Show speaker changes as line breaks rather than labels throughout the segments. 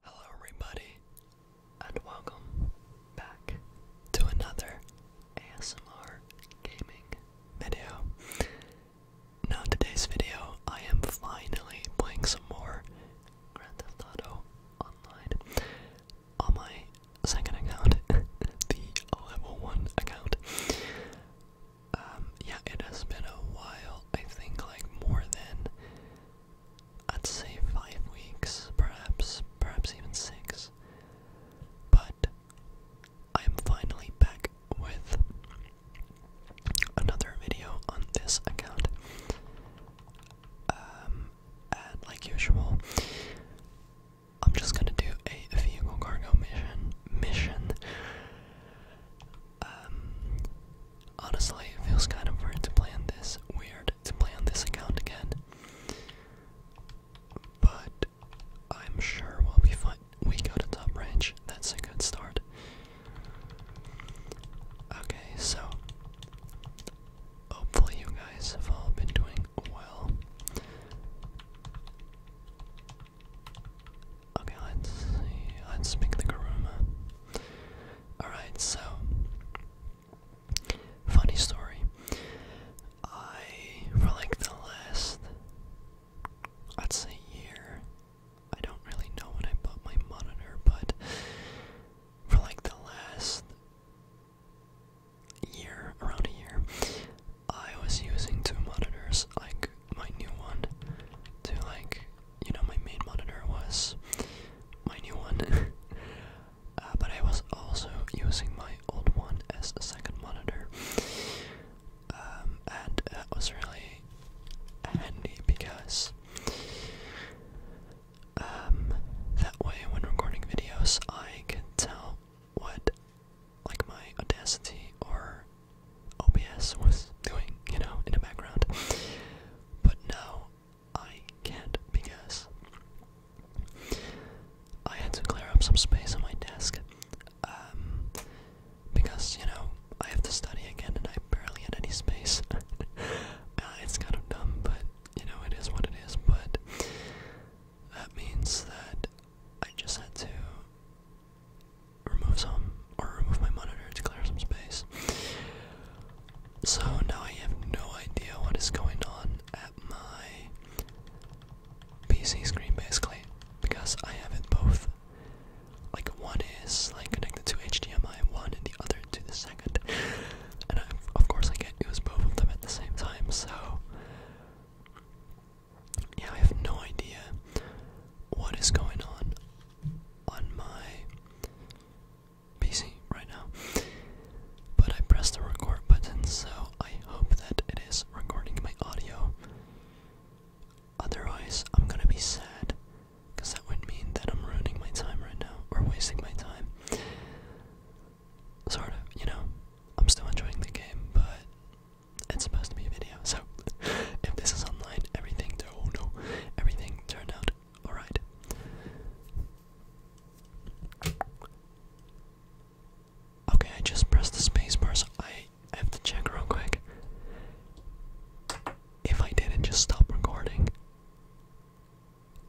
Hello, everybody, and welcome back to another ASMR gaming video. Now, today's video, I am finally playing some more Grand Theft Auto Online on my second account, the level 1 account. Um, yeah, it has been a while, I think, like more than I'd say five weeks, perhaps, perhaps even six. But I'm finally back with another video on this account. Um, and like usual, I'm just gonna do a vehicle cargo mission. Mission. Um, Honestly, it feels kind of weird to play on this weird to play on this account again. But I'm sure we'll be fine. We go to top range. That's a good start. Okay, so hopefully you guys have all been doing well. Okay, let's Let's make the Garuma. Alright, so. Funny story. I, for like the last, I'd say year, I don't really know when I bought my monitor, but for like the last year, around a year, I was using two monitors. Like, my new one to like you know my main monitor was my new one uh, but I was also using my old one as a second monitor um, and that was really handy because um, that way when recording videos I can tell what like my audacity or OBS was doing, you know, in the background. But now I can't because I had to clear up some space on my desk. Um, because, you know, I have to study again and I barely had any space. Uh, it's kind of dumb, but, you know, it is what it is. But that means that I just had to remove some or remove my monitor to clear some space. So now I have no idea what is going on at my PC screen basically because I have it both. Like one is like connected to HDMI one and the other to the second. And I, of course I can use both of them at the same time, so yeah, I have no idea what is going on on my PC right now. But I pressed the record button, so I hope that it is recording my audio. Otherwise, I'm gonna be sad because that would mean that I'm ruining my time right now or wasting my time. Sort of, you know, I'm still enjoying the game, but it's supposed to be a video, so if this is online, everything oh no, everything turned out alright. Okay, I just pressed the spacebar, so I have to check real quick. If I didn't just stop recording.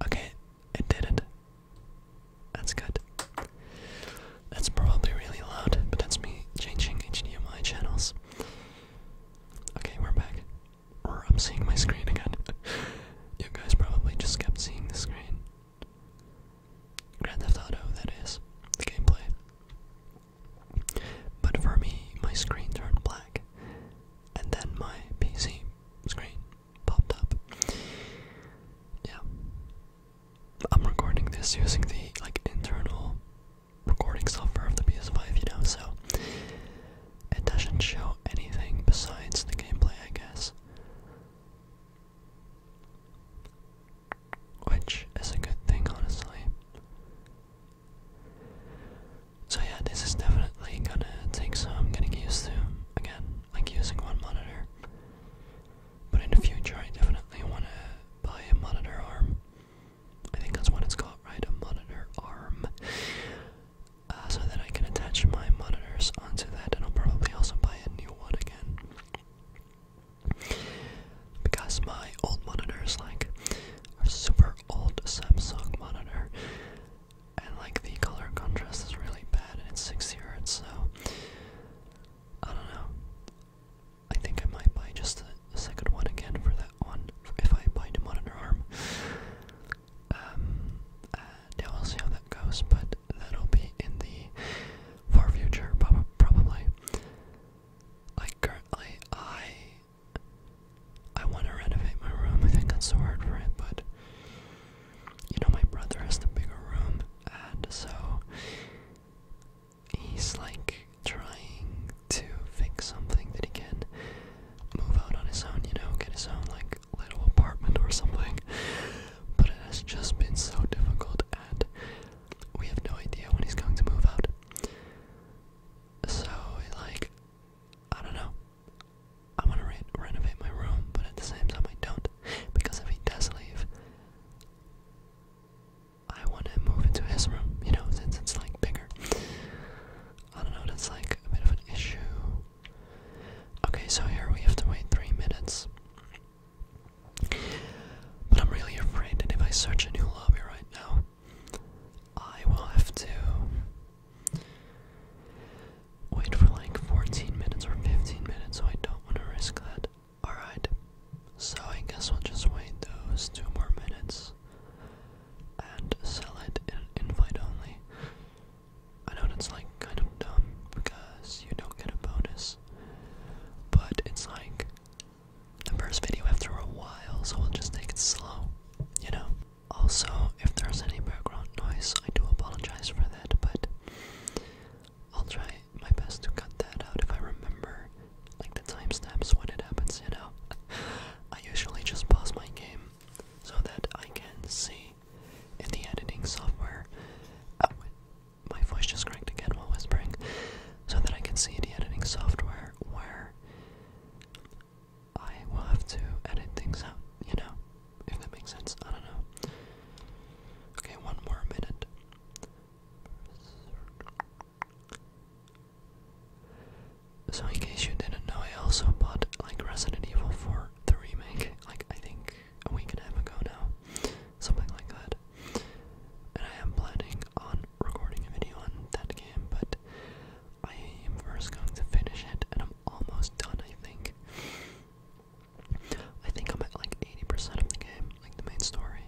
Okay, it didn't. That's good. That's probably really loud, but that's me changing HDMI channels. Okay, we're back. I'm seeing my screen again. you guys probably just kept seeing the screen. Grand Theft Auto, that is, the gameplay. But for me, my screen turned black, and then my PC screen popped up. Yeah, I'm recording this using the like internal recording software of the PS5, you know, so it doesn't show anything besides the gameplay, I guess. Which is a good thing, honestly. So, yeah, this is definitely gonna take some getting used to. Again, like using one monitor. But in the future, I definitely want to buy a monitor arm. I think that's what it's called, right? A monitor arm. Uh, so that I can attach my monitors onto that, and I'll probably also buy a new one again. Because my old monitors, like, a super old Samsung monitor, and like the color contrast is really bad, and it's 60 hertz, so I don't know. I think I might buy just a second one again for that one, if I buy the Modern um, uh, yeah, we'll see how that goes, but that'll be in the far future, probably. Like, currently, I... I want to renovate my room, I think that's the word for it, but you know, my brother has the bigger room, and so he's like trying to fix something that he can move out on his own, you know, get his own like little apartment or something. But it has just been so difficult, and we have no idea when he's going to move out. So, like, I don't know. I want to renovate my room, but at the same time, I don't. Because if he does leave, I want to move into his room, you know, since it's like bigger. I don't know, that's like a bit of an issue. Okay, so here we have to wait three minutes. But I'm really afraid that if I search a new lobby right now, I will have to wait for like 14 minutes or 15 minutes, so I don't want to risk that. Alright, so I guess we'll just wait those two more minutes and sell it in invite only. I know it's like kind of dumb because you don't get a bonus, but it's like the first video after a while, so we'll just take it slow, you know? Also, if there's any background noise, I do apologize for that, but I'll try my best to cut that out if I remember, like the timestamps when it happens, you know. I usually just pause my game so that I can see in the editing software. Oh, my voice just cracked again while whispering. So that I can see in the editing software where I will have to edit things out, you know if that makes sense. I don't know. Okay, one more minute. So in case you didn't know, I also bought like Resident Evil 4 the remake, like I think a week and a half ago now, something like that. And I am planning on recording a video on that game, but I am first going to finish it, and I'm almost done, I think. I think I'm at like 80% of the game, like the main story.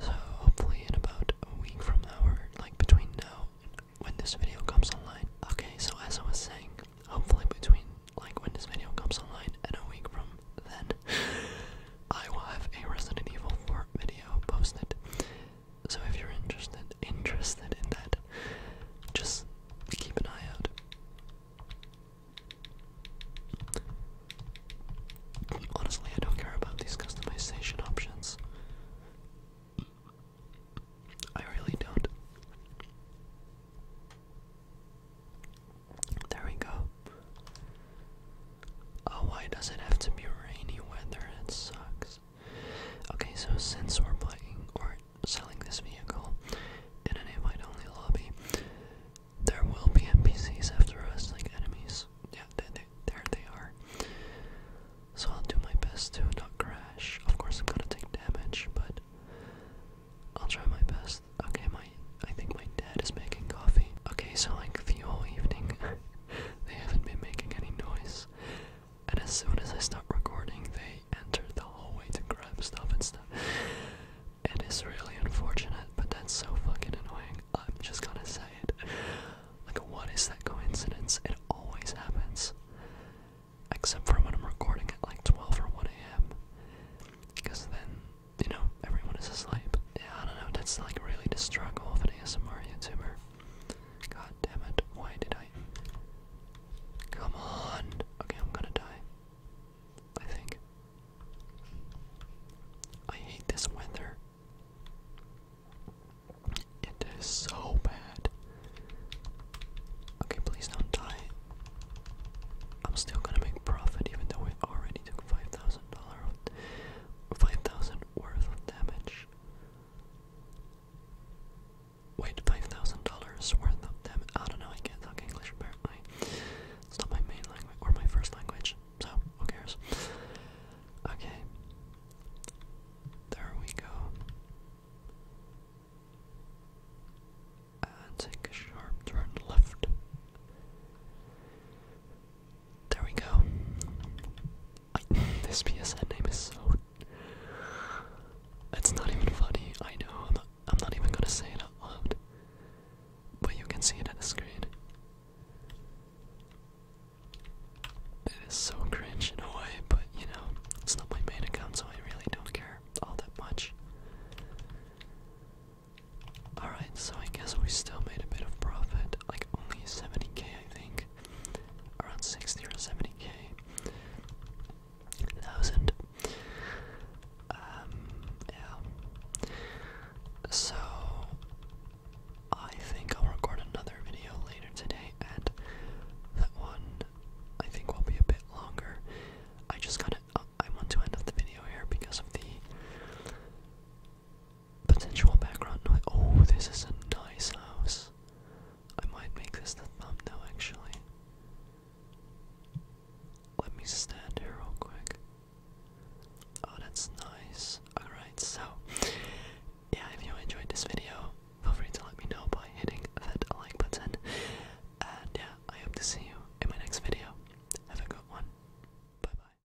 So hopefully in about a week from now, like between now and when this video comes online. Okay, so as I was saying, hopefully between like when this video comes online and a week from then, I will have a Resident Evil 4 video posted. So if you're interested interested in that, just keep an eye out. Honestly, I don't care about these customization options. I really don't. There we go. Oh, why does it have to be rainy weather? It sucks. Okay, so since we're playing or selling this vehicle in an invite-only lobby, there will be NPCs after us, like enemies. Yeah, they, they, there they are. So I'll do my best to not crash. Of course, I'm gonna take damage, but I'll try my best. Okay, my I think my dad is making coffee. Okay, so like the whole evening, they haven't been making any noise and as soon as I stopped recording, they enter the hallway to grab stuff and stuff. It is really unfortunate, but that's so fucking annoying. I'm just gonna say it. Like, what is that coincidence? It always happens. Except for when I'm recording at like 12 or 1 a.m. Because then, you know, everyone is asleep. Yeah, I don't know, that's like really the struggle of an ASMR YouTuber. God damn it, why did I? Come on! Okay, I'm gonna die. I think. I hate this weather. It is so bad. Okay, please don't die. I'm still gonna make profit even though we already took $5,000 5000 worth of damage. Wait, $5,000 worth of them. I don't know, I can't talk English apparently. It's not my main language, or my first language, so who cares? Okay. There we go. take a sharp turn left. There we go. this PSN name is so. It's not even funny. I know. I'm not even gonna say it out loud. But you can see it on the screen. It is so cringe in a way, but you know, it's not my main account, so I really don't care all that much. Alright, so I guess we still made a bit of profit like only 70k, I think, around 60 70k, thousand. Um, yeah. So I think I'll record another video later today, and that one I think will be a bit longer. I just gotta. Uh, I want to end up the video here because of the potential background Oh, this is a nice house. I might make this the thumbnail actually. Let me stand here real quick. Oh, that's nice. Alright, so, yeah, if you enjoyed this video, feel free to let me know by hitting that like button. And yeah, I hope to see you in my next video. Have a good one. Bye bye.